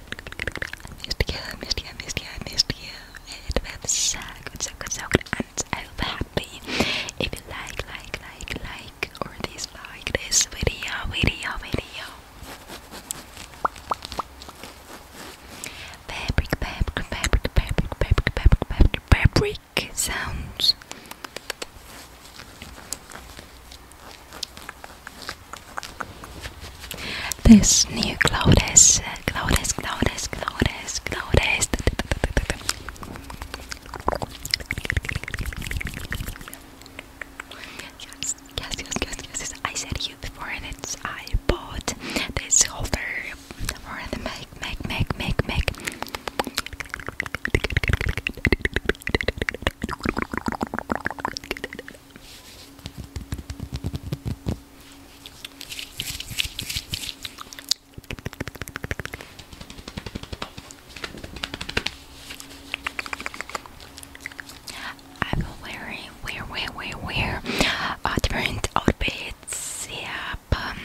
I missed you, I missed you, I missed you, I missed you. It was so good, so good, so good. I'm so happy. If you like, like, like, like, or dislike this video, video, video. Fabric, fabric, fabric, fabric, fabric, fabric, fabric, fabric sounds. This new Cloudes, Cloudes, Cloudes, Cloudes, Cloudes. Yes, yes, yes, yes, yes, I said before, and I bought this holder for the make, make, make, make, make. I've been wearing, wear, wear, uh, different outfits. Yeah, um,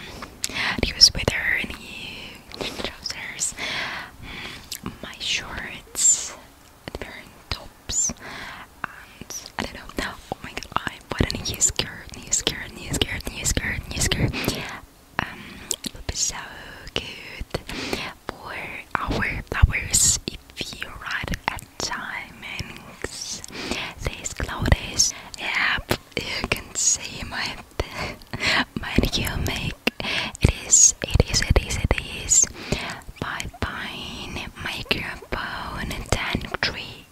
sweater, new trousers, mm, my shorts wearing tops and I don't know. Oh my god, I am a new skirt, scared, skirt, new skirt, new skirt, new Um, it will be so good for our flowers if you ride at timings. These clothes, yep, you can see my my new it is, it is, it is, it is by Fine Microphone Tank Tree.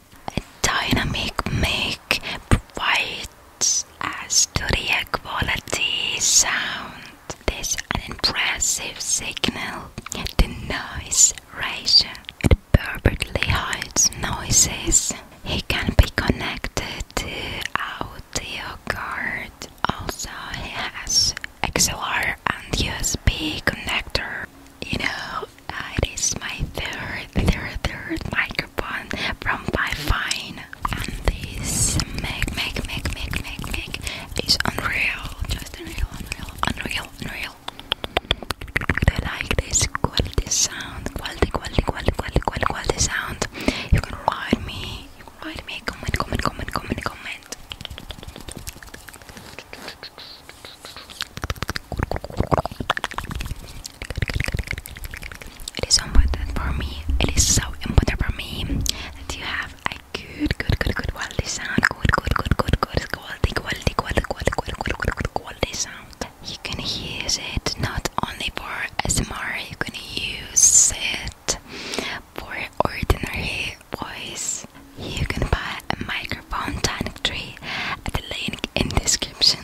Dynamic mic provides a studio quality sound. This an impressive signal The noise ratio. It perfectly hides noises. It can be connected to audio card. Also, it has XLR and USB connector. You know, uh, it is my third, third, third microphone from Bifine, and this make, make, make, make, make, make is unreal, just unreal, unreal, unreal, unreal. I like this quality sound, quality, quality, quality, quality, quality, quality sound. You can write me you can comment, comment, comment, comment, comment. It is important for me. It is so important for me that you have a good, good, good, good quality sound. Good, good, good, good, good quality, quality, quality, quality, quality, quality, sound. You can use it not only for SMR. You can use it for ordinary voice, you can buy a microphone tonic tree at the link in description.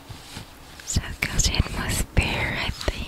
So because it must bear, I think.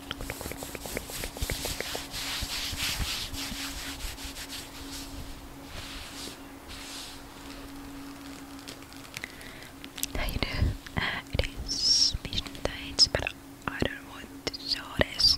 I know uh, it is vision but I don't want to show this.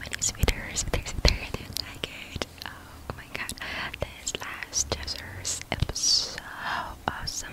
Many sweaters, sweaters, sweaters, I didn't like it. Oh my god, this last desert it so awesome.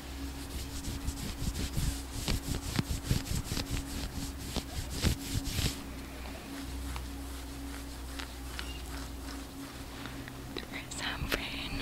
There's some rain.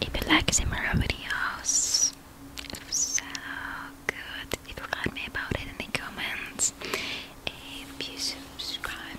If you like Simara videos, it so good. If you write me about it in the comments, if you subscribe,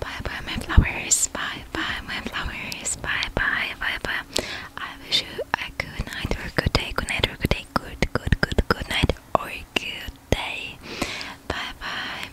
Bye bye, my flowers. Bye bye, my flowers. Bye bye, bye bye. I wish you a good night or a good day. Good night or a good day. Good, good, good, good night or good day. Bye bye.